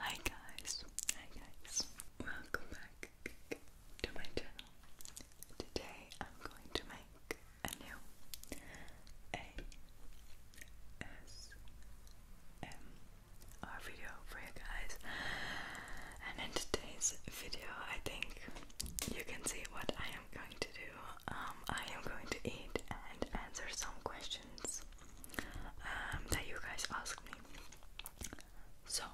Hi guys, hi guys, welcome back to my channel. Today I'm going to make a new ASMR video for you guys. And in today's video, I think you can see what I am going to do. Um, I am going to eat and answer some questions um, that you guys asked me. So,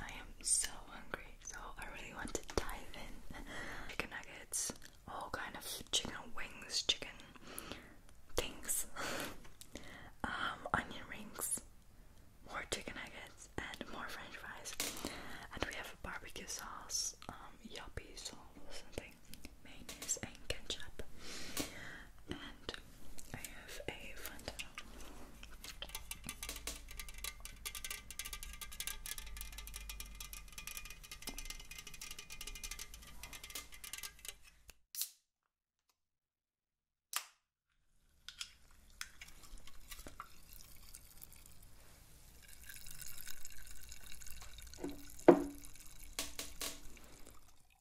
I am so hungry, so I really want to dive in. Chicken nuggets, all kind of chicken wings, chicken things, um, onion rings, more chicken nuggets, and more french fries. And we have a barbecue sauce, um, yuppie and things mayonnaise and ketchup. And I have a Fanta.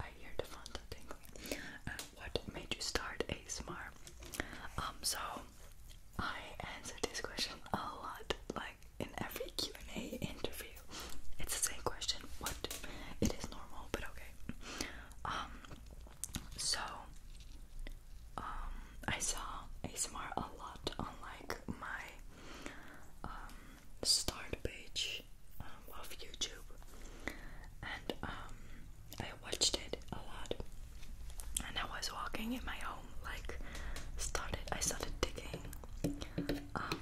I hear the fountain tingling. Uh, what made you start ASMR? Um, so I answer this question a lot, like in every Q and A interview. It's the same question. What? It is normal, but okay. Um, so um, I saw ASMR a lot on like my um, start page um, of YouTube, and um, I watched it a lot. And I was walking in my home, like started. I started digging, um,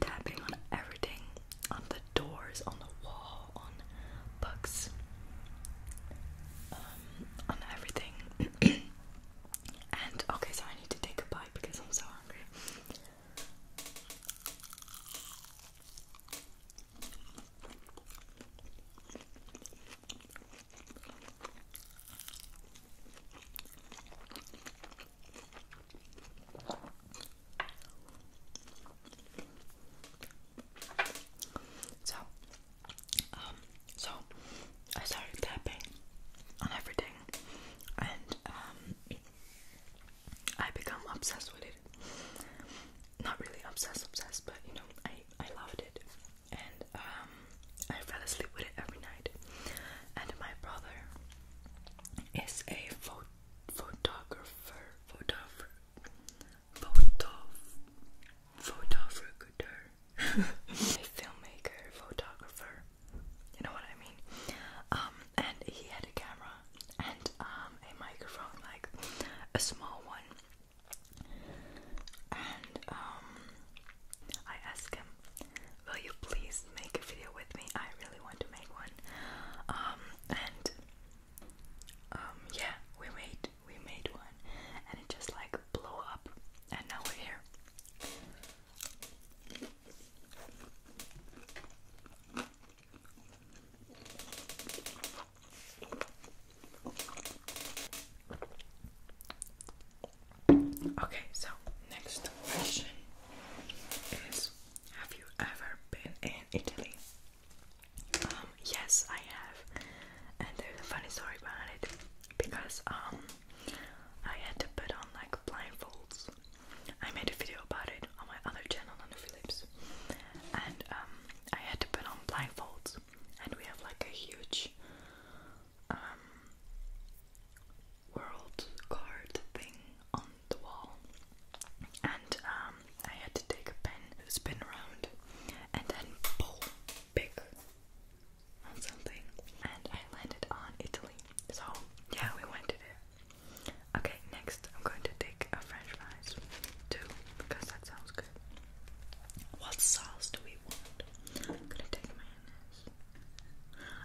tapping on everything, on the doors, on the wall, on books, on everything. and okay, so I need to take a bite because I'm so hungry. So, um, so I started tapping on everything, and um, I become obsessed with it. Not really obsessed, obsessed, but you know, I I loved it, and um, I fell asleep with it every night. And my brother is a pho photographer, photographer, photo, photographer, a filmmaker, photographer, you know what I mean? Um, and he had a camera and um, a microphone, like a small one. And um, I asked him, "Will you please make a video with me? I really want to make one." and yeah, we made we made one, and it just like blew up, and now we're here. Okay, so next question is Have you ever been in Italy? Um, yes, I have, and there's a funny story behind it because um, I had to put on like blindfolds I made a video about it on my other channel on the Philips, and um, I had to put on blindfolds, and we have like a huge um, world card thing on the wall, and um, I had to take a pen, spin around, and then pull big on something, and I landed on Italy. So yeah, we went to there. Okay, next I'm going to take a french fries too because that sounds good. What sauce do we want? I'm gonna take mayonnaise.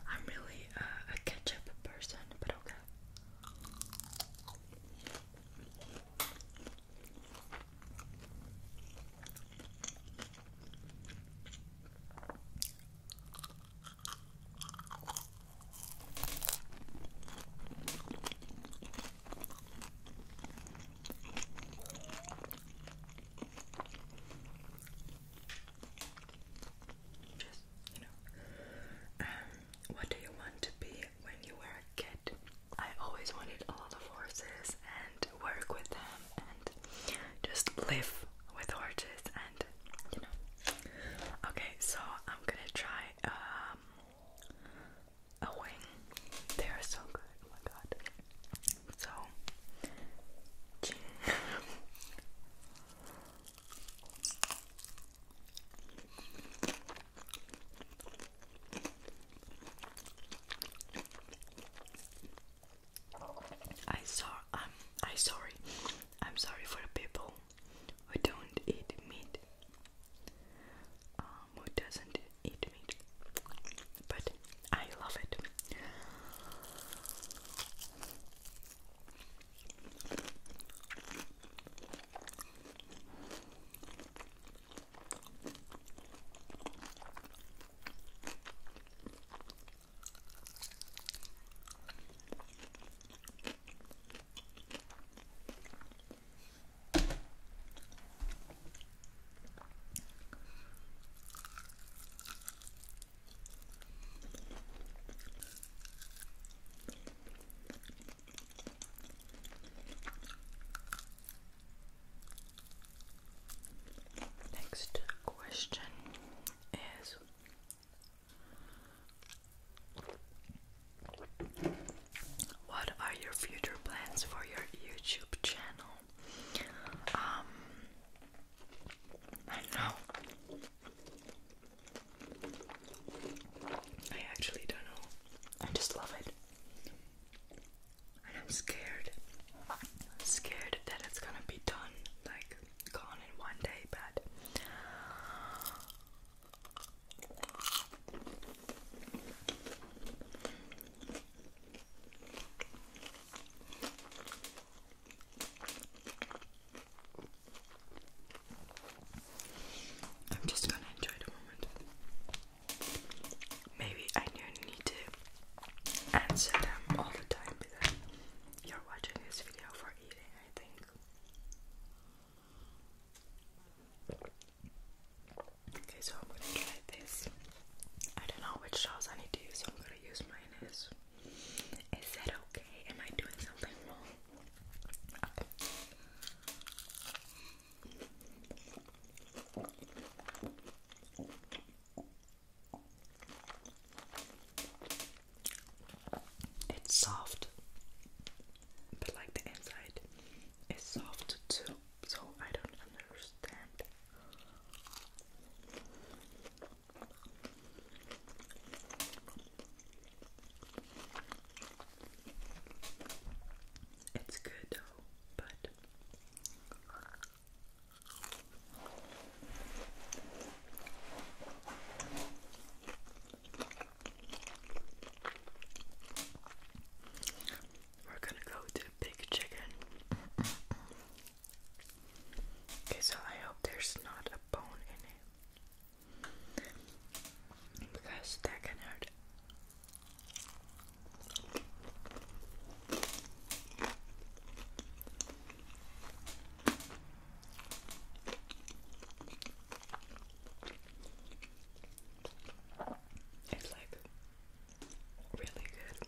I'm really uh, a ketchup person, but okay. Um, what do you want to be when you were a kid? I always wanted all the horses and work with them and just live with horses and you Okay, so I'm gonna try um, a wing. They are so good. Oh my god. So I saw I'm um, sorry. I'm sorry for people who don't eat meat. Um, who doesn't eat meat. But I love it. Next question is what are your future plans for your YouTube channel? Um, I know. I actually don't know. I just love it. And I'm scared. scared that it's gonna be done like gone in one day, but I'm just gonna enjoy the moment. Maybe I don't need to answer them all the time you're watching this video for eating, I think. Okay, so I'm gonna try this. I don't know which sauce I need to use, so I'm gonna use mayonnaise. Is that okay? Am I doing something wrong? It's soft, but like the inside is soft too, so I don't understand. It's good though, but we're gonna go to Big Chicken. okay, so I hope there's not a bone in it because that can hurt. It's like really good.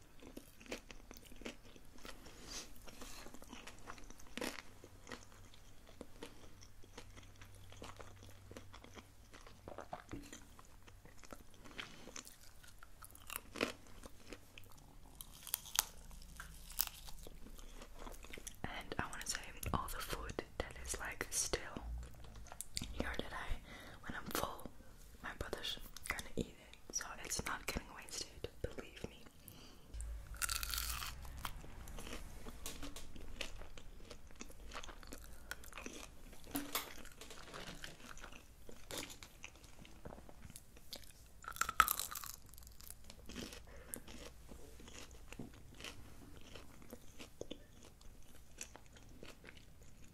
And I want to say all the food that is like still here that I, when I'm full, my brother's gonna eat so it's not getting wasted, believe me.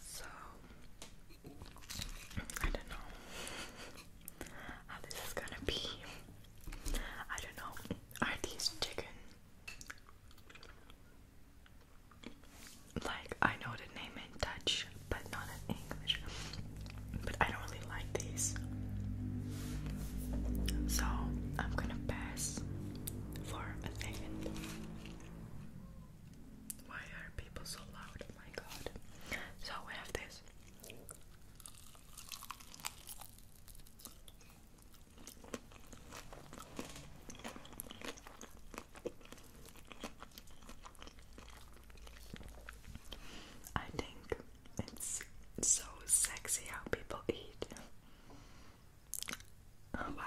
So I don't know how this is gonna be. I don't know. Are these chicken? Like I know the name in Dutch, but not in English. But I don't really like these. So I'm gonna pass for a second. Why are people so loud? Oh my god. So we have this. I think it's so sexy how people eat. Oh, wow.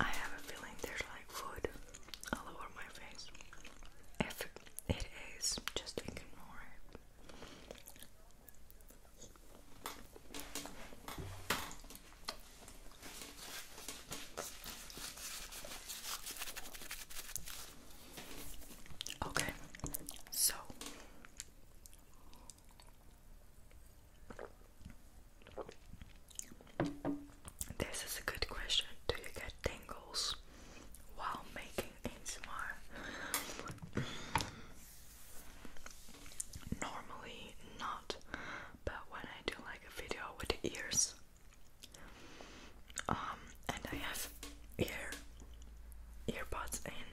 I have a feeling there's like food all over my face. If it is, just ignore it. Okay, so this is a good question. Do you get tingles while making ASMR? Normally not, but when I do like a video with ears, um, and I have ear earbuds in.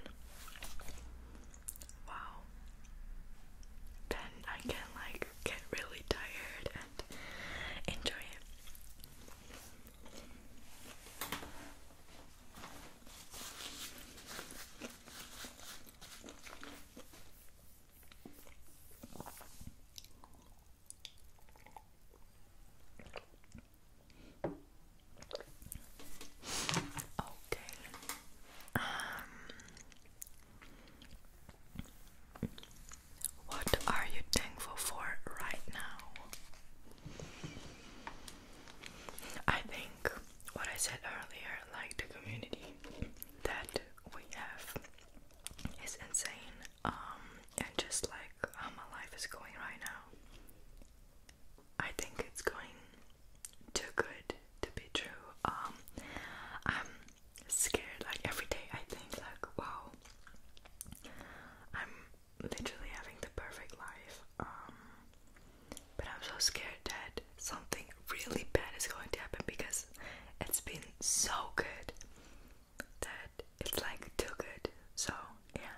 Wow. Then I can like get really tired and enjoy it. Okay. Um, what are you thankful for right now? I think what I said earlier, like the community that we have, is insane. Um, and just like how my life is going right now, I think it's going too good to be true. Um, scared like every day. I think like wow, I'm literally having the perfect life. Um, but I'm so scared that something really bad is going to happen because it's been so good that it's like too good. So yeah.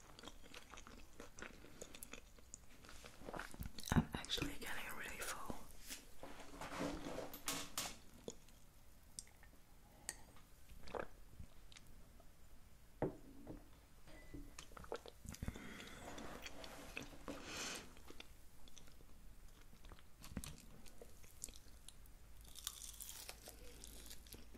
I'm actually getting really full.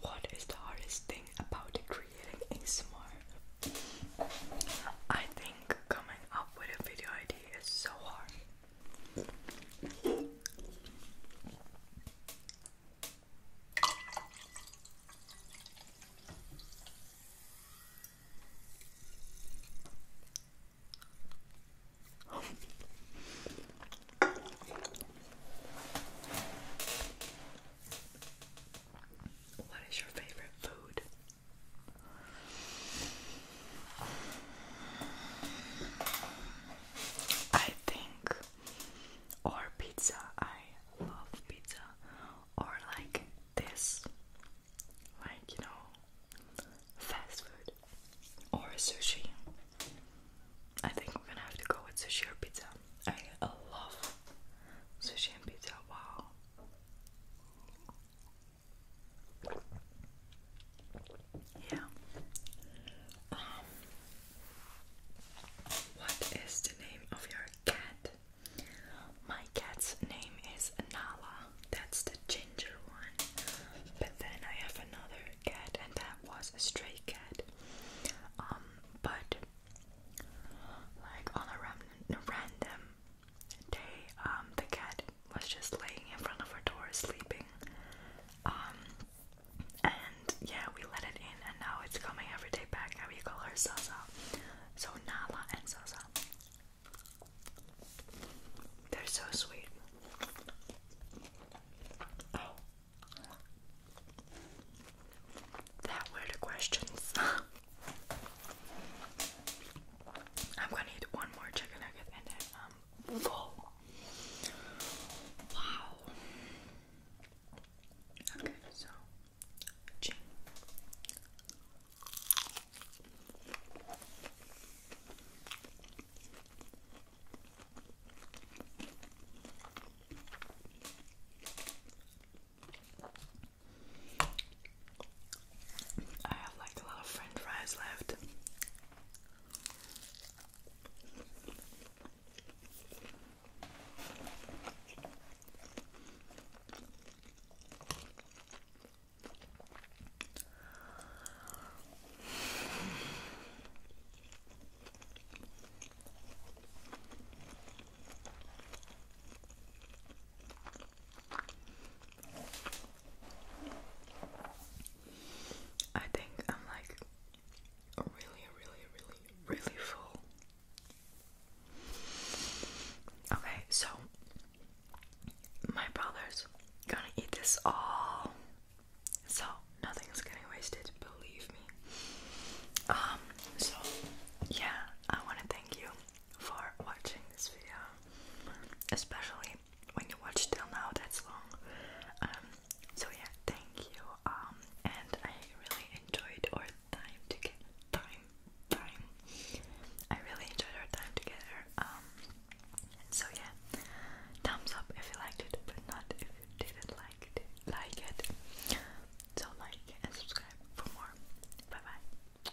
What is the hardest thing about creating a ASMR? I think coming up with a video idea is so hard. What is your favorite food? I think or pizza. I love pizza or like this. Like, you know, fast food or sushi. I think we're gonna have to go with sushi or pizza. I love sushi and pizza. Wow. Yeah. Um, what is the name of your cat? My cat's name is Nala. That's the ginger one. But then I have another cat, and that was a stray cat. Um. But like on a random day, um, the cat was just laying in front of our door sleeping. Um, and yeah, we let it in, and now it's coming every day back. Now we call her Sasa. So Nala and Sasa. They're so sweet. Oh. That were the I'm gonna eat one more chicken nugget and I'm um, full. Wow. Okay, so ching. I have like a lot of french fries left. I think I'm like really, really, really, really full. Okay, so my brother's gonna eat this all, so nothing's getting wasted, believe me. Um, so yeah, I want to thank you for watching this video, especially when you watch till now, that's long. Um, so yeah, thank you. Um, and I really enjoyed our time together. Time, time. I really enjoyed our time together. Um, so yeah, thumbs up if you liked it, but not if you didn't like Like it. So like and subscribe for more. Bye bye.